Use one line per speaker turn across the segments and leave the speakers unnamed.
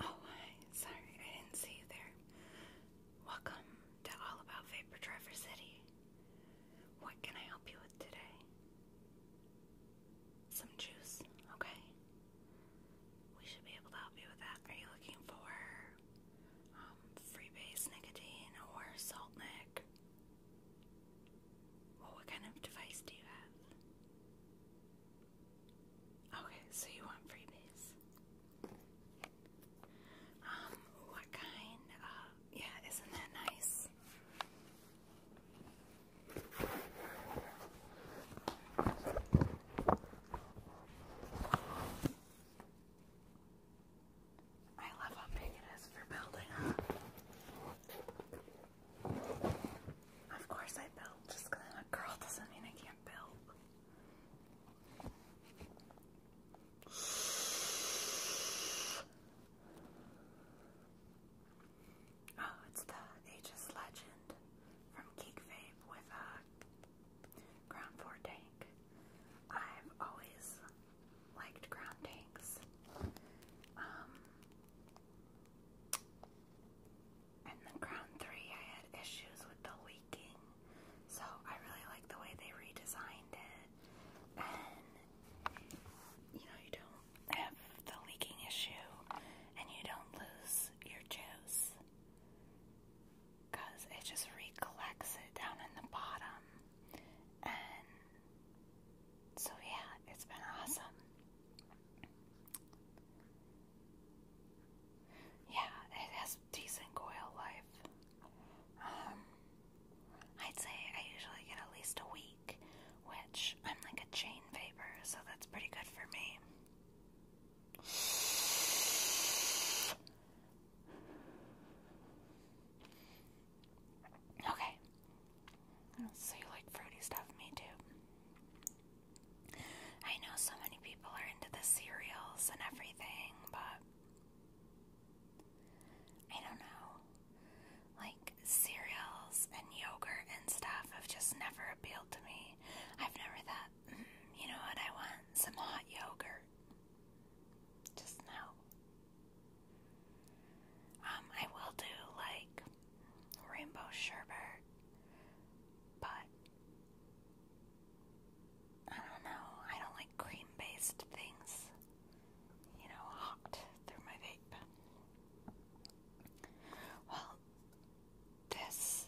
Oh, hi. Sorry, I didn't see you there. Welcome to All About Vapor Driver City. What can I help you with today? Some juice, okay? We should be able to help you with that. Are you looking for um, freebase nicotine or salt nick? what kind of device do you have? Okay, so you want freebies. Um, what kind? yeah, isn't that nice? I love how big it is for building up. Of course I built. Just because I'm a girl doesn't mean I can't build. Oh, it's the Aegis Legend from Geek with a uh, Ground 4 tank. I've always liked ground tanks. Um, and then Crown 3, I had issues with the leaking, so I really like the way they redesigned it. And you know, you don't have the leaking issue, and you don't lose your juice because it just recollects it down in the bottom. So, yeah, it's been awesome. Yeah, it has decent coil life. Um, I'd say I usually get at least a week, which I'm like a chain vapor, so that's pretty good for me. Okay, so you like fruity stuff? Me too. I know so many people are into the cereals and everything, but I don't know. Like cereals and yogurt and stuff have just never appealed to me. I've never thought, mm, you know what I want? Some hot yogurt. Just no. Um, I will do like rainbow sherbet, but I don't know. I don't like cream based things, you know, hot through my vape. Well, this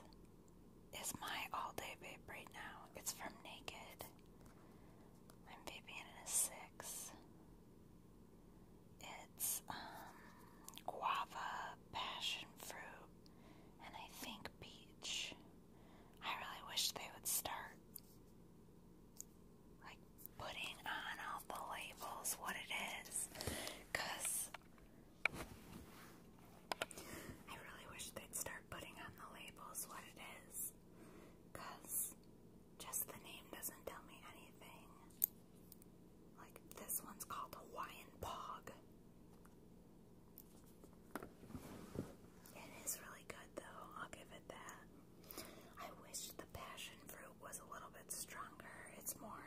is my all day vape right now. It's from Naked. I'm vaping in a 6. It's um, guava, passion fruit, and I think peach. I really wish they would start like putting on all the labels what it I really wish they'd start putting on the labels what it just the name doesn't tell me anything. Like this one's called Hawaiian Pog. It is really good though, I'll give it that. I wish the passion fruit was a little bit stronger. It's more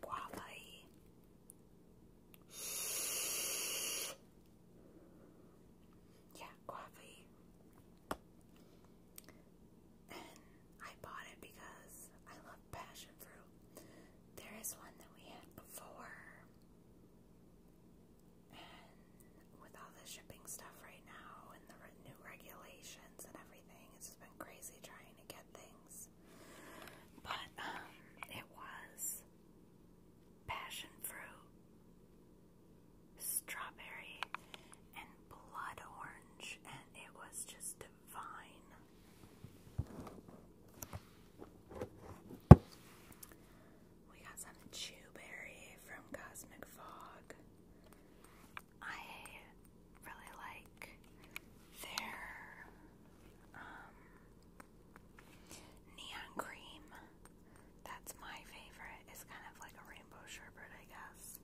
guava Yeah, guava and I bought it because I love passion fruit. There is one that we had before, and with all the shipping stuff right now and the new regulations and everything, it's just been crazy trying to get things. But um, it was passion fruit, strawberry, and blood orange, and it was just divine. We got some chewberry from Cosmic Fog. I really like their um, neon cream. That's my favorite. It's kind of like a rainbow sherbet, I guess.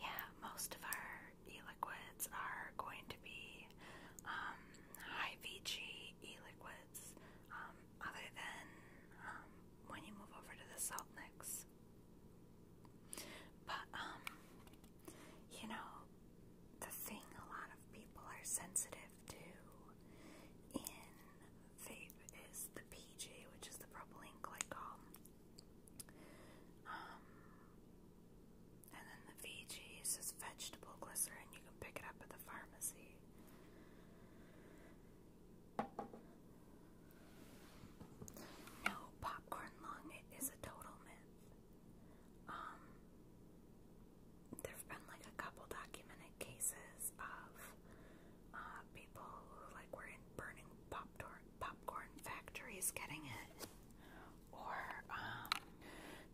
Yeah, most of our e-liquids are going to be um, high VG e-liquids, um, other than um, when you move over to the salt mix. But um, you know, the thing a lot of people are sensitive to in vape is the PG, which is the propylene glycol. Um, and then the VG is vegetable glycerin. You can pick it up at the pharmacy. No, popcorn lung it is a total myth. Um, there've been like a couple documented cases of uh, people who like were in burning popcorn popcorn factories getting it, or um,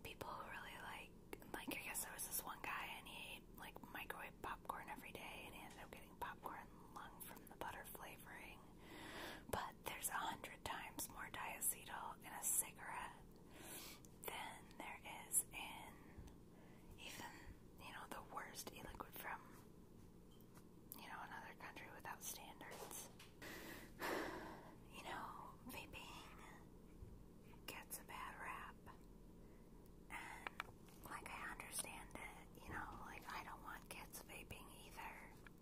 people who really like like I guess there was this one guy and he ate like microwave popcorn every day and he ended up getting popcorn lung from the butter flavoring. But there's a hundred times more diacetyl in a cigarette than there is in even, you know, the worst e liquid from, you know, another country without standards. You know, vaping gets a bad rap. And, like, I understand it, you know, like, I don't want kids vaping either.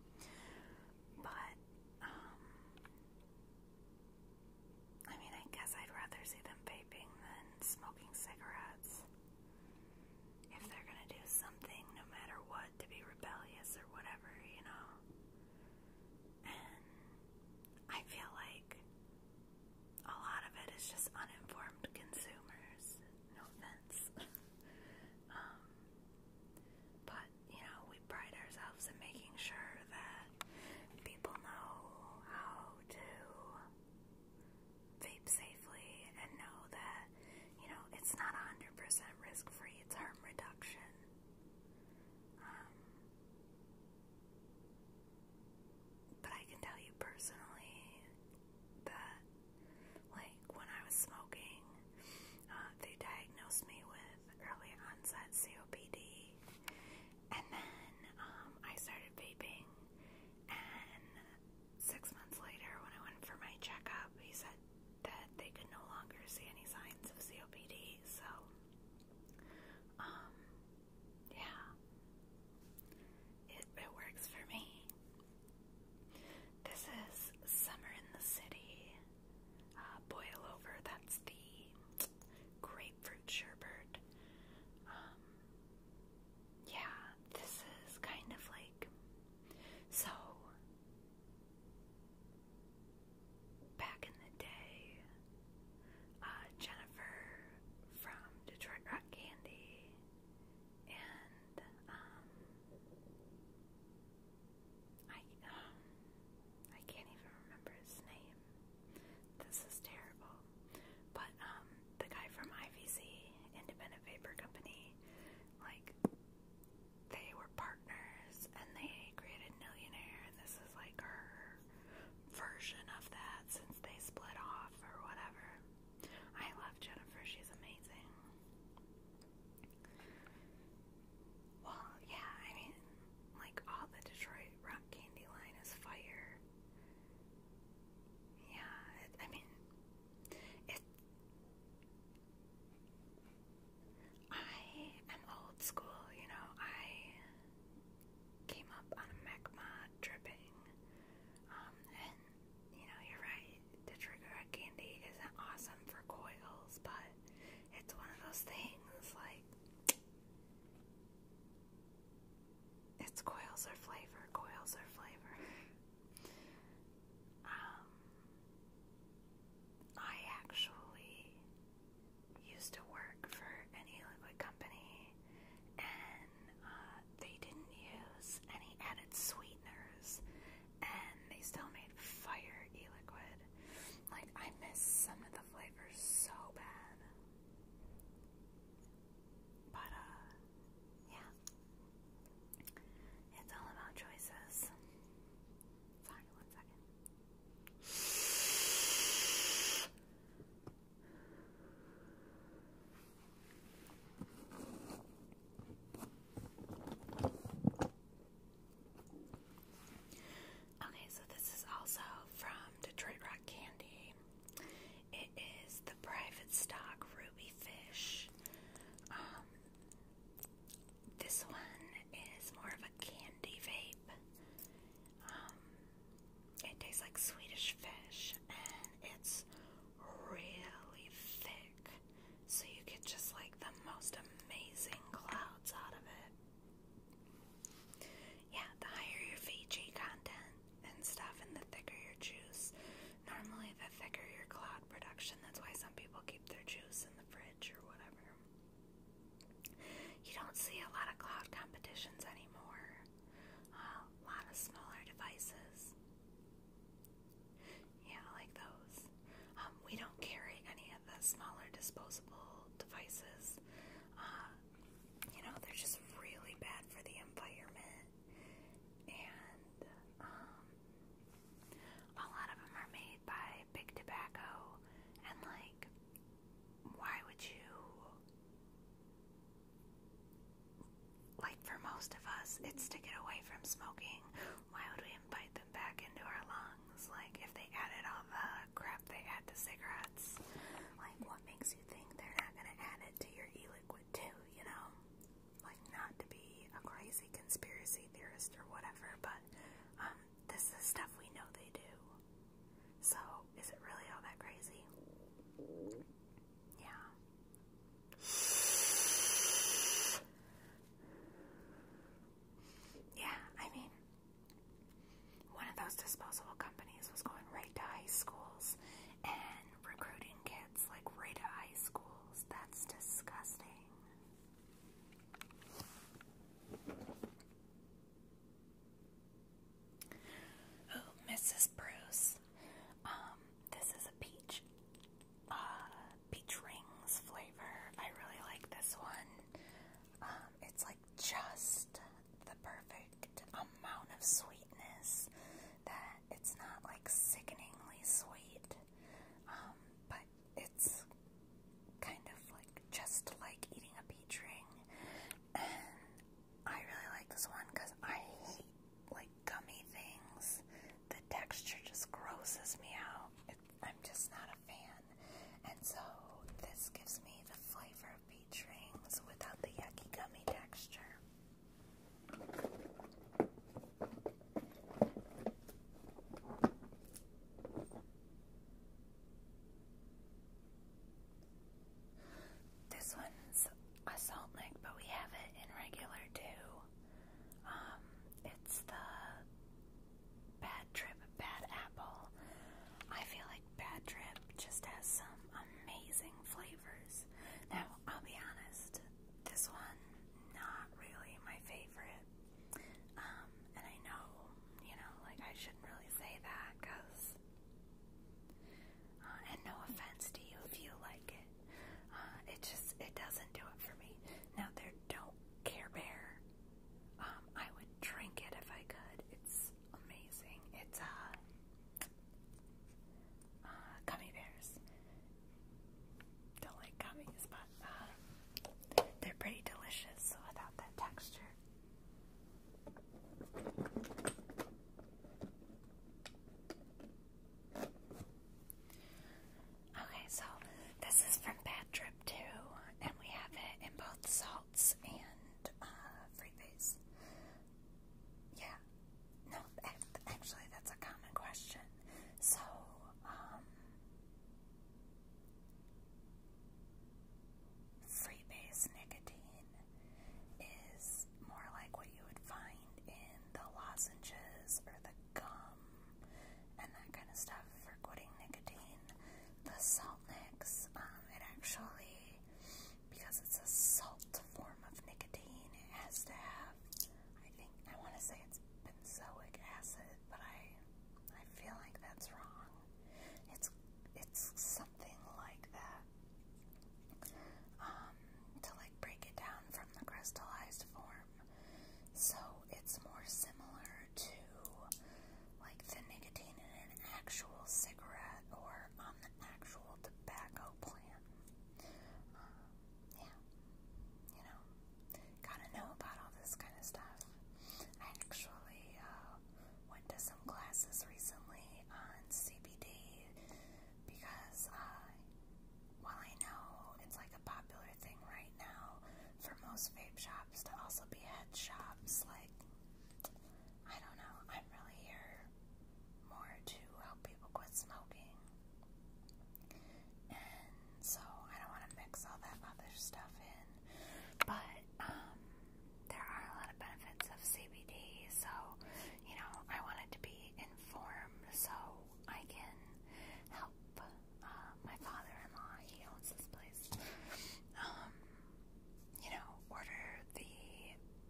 But, um, I mean, I guess I'd rather see them vaping than smoking cigarettes. If they're gonna do something, no matter what, to be rebellious or whatever, you know? And I feel like a lot of it is just uninformed consumers. No offense. um, but you know, we pride ourselves in making sure that people know how to vape safely and know that, you know, it's not 100% risk free, it's harm reduction. Um, but I can tell you personally that, like, when I was smoking, uh, they diagnosed me with early onset COPD, and then um, I started vaping. And six months later, when I went for my checkup, he said that they could no longer see any signs of COPD. So, um, yeah, it, it works for me. This is Summer in the City uh, boil over. That's the grapefruit sherbet. Um, yeah, this is kind of like so. Back in the day, uh, Jennifer from Detroit Rock Candy and um, I I can't even remember his name. This is terrible. But um the guy from IVC, Independent Vapor Company, like they were partners and they created millionaires. this is like her version of that since they split off or whatever. I love Jennifer, she's amazing. Well, yeah, I mean, like all the Detroit rock candy line is fire. Yeah, I mean, it. I am old school, you know. I came up on a magma dripping, um, and you know, you're right. Detroit rock candy isn't awesome for coils, but it's one of those things like it's coils or flavor, coils or flavor. um, I actually used to work for an e-liquid company, and uh, they didn't use any added sweeteners, and they still made fire e-liquid. Like, I miss some of the flavors so bad. But, uh, yeah. It's all about choices. one second. Okay, so this is also from Detroit Rock Candy. It is the private stock ruby fish. Um, this one is more of a candy vape. Um, it tastes like Swedish fish, and it's really thick, so you get just like the most amazing clouds out of it. But yeah, the higher your Fiji content and stuff, and the thicker your juice. Normally, the thicker your cloud production. That's why some people keep their juice in the fridge or whatever. You don't see a lot of cloud competitions anymore. Uh, a lot of smaller devices. Yeah, like those. Um, we don't carry any and the smaller disposable devices, uh, you know, they're just really bad for the environment. And um, a lot of them are made by big tobacco, and like, why would you? Like, for most of us, it's to get away from smoking why would we invite them back into our lungs? Like, if they added all the crap they add to cigarettes, like, what makes you think they're not going to add it to your e liquid, too, you know? Like, not to be a crazy conspiracy theorist or whatever, but um, this is stuff we know they do. So, is it really all that crazy? Yeah. Yeah, I mean, one of those disposable companies was going right to high schools and recruiting kids like right to high schools. That's disgusting. Oh, Mrs. Bruce. Um, this is a peach. Uh, peach rings flavor. I really like this one. Um, it's like just the perfect amount of sweetness that it's not like sickeningly sweet, um, but it's kind of like just like eating a peach ring. And I really like this one because I hate like gummy things. The texture just grosses me out. It, I'm just not a fan, and so this gives me the flavor of peach rings without the yucky gummy texture. This one's a salt lick, but we have it in regular too. Um, it's the Bad Trip, Bad Apple. I feel like Bad Trip just has some amazing flavors. Now, I'll be honest, this one, not really my favorite. Um, and I know, you know, like I shouldn't really say that because, uh, and no offense to you if you like it, uh, it just, it doesn't do it for me. Now, there Don't Care Bear um, I would drink it if I could. It's amazing. It's uh, uh gummy bears. Don't like gummies, but uh, they're pretty delicious without that texture. Okay, so this is from Bad Trip too, and we have it in both salts and uh, free base. Yeah, no, actually, that's a common question. So, um, free base nicotine is more like what you would find in the lozenges or the gum and that kind of stuff for quitting nicotine. The salt mix, um, it actually, because it's a salt form of nicotine, it has to have, I think, I want to say it's benzoic acid, but I, I feel like that's wrong. It's, it's something like that. Um, to like break it down from the crystallized form. So it's more similar to like the nicotine in an actual cigarette or on the actual tobacco plant. Um, yeah, you know, gotta know about all this kind of stuff. I actually uh, went to some classes recently on CBD because uh, while I know it's like like a popular thing right now for most vape shops to also be head shops. Like, I don't know. I'm really here more to help people quit smoking. And so I don't want to mix all that other stuff in. But, um, there are a lot of benefits of CBD, so, you know, I want it to be informed so I can help uh, my father-in-law, he owns this place. Um, you know, order the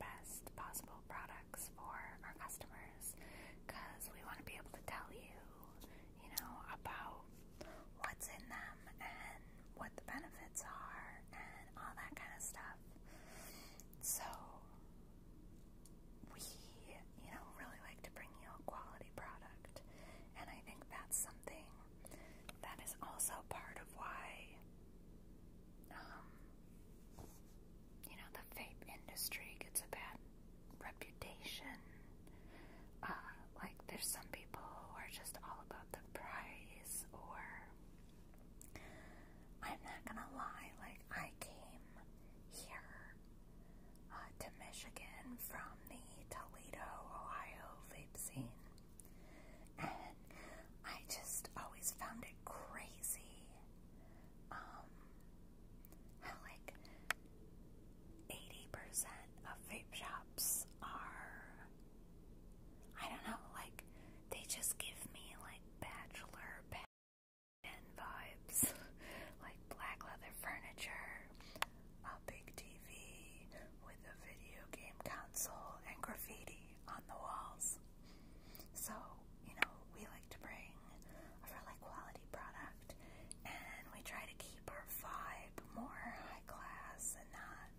best possible products for our customers because we want to be able to tell you, you know, about what's in them and what the benefits are and all that kind of stuff. So, we, you know, really like to bring you a quality product. And I think that's something that is also part of why, um, you know, the vape industry gets a bad reputation. Uh, like, there's some people who are just all about the price, or I'm not gonna lie, like, I came here uh, to Michigan from the Toledo, Ohio vape scene. And I just always found it crazy um, like, 80% of vape shops are, I don't know, like, they just give me, like, bachelor, bachelor and vibes like black leather furniture, a big TV with a video game console and graffiti on the walls. So, you know, we like to bring a really quality product and we try to keep our vibe more high class and not.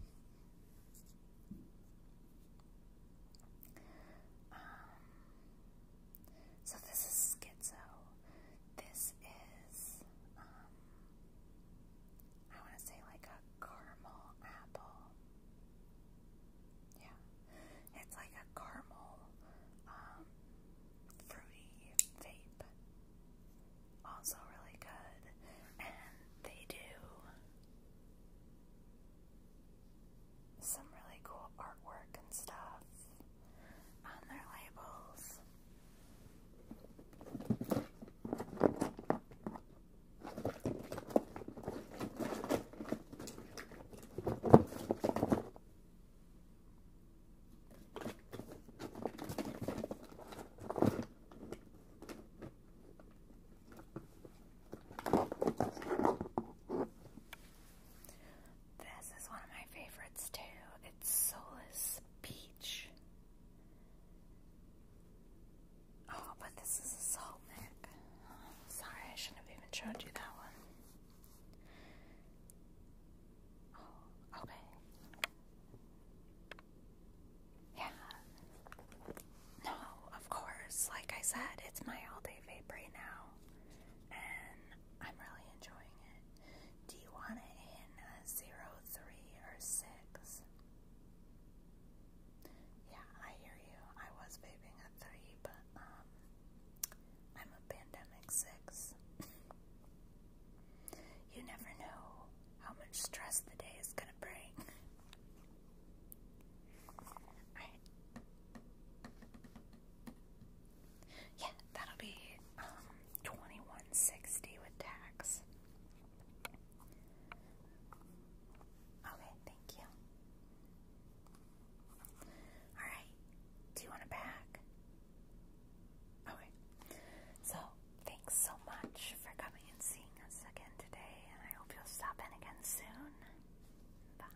Um, so this is schizo. This is um I wanna say like a caramel apple. Yeah. It's like a caramel um fruity vape. Also really good. And they do some really cool artwork and stuff on their labels. This is one of my favorites too. It's Solus Peach. Oh, but this is salt neck. sorry, I shouldn't have even showed you that one. Oh, okay. Yeah. No, of course. Like I said, it's my all day vape right now. And I'm really enjoying it. Do you want to in a uh, zero, three, or six? Yeah, I hear you. I was vaping a three, but um, I'm a pandemic six. you never know how much stress the day is gonna bring. Alright. Yeah, that'll be um, twenty one sixty with tax. Okay, thank you. Alright, do you want a bag? Okay. So thanks so much for coming and seeing us again today and I hope you'll stop in again soon. Bye.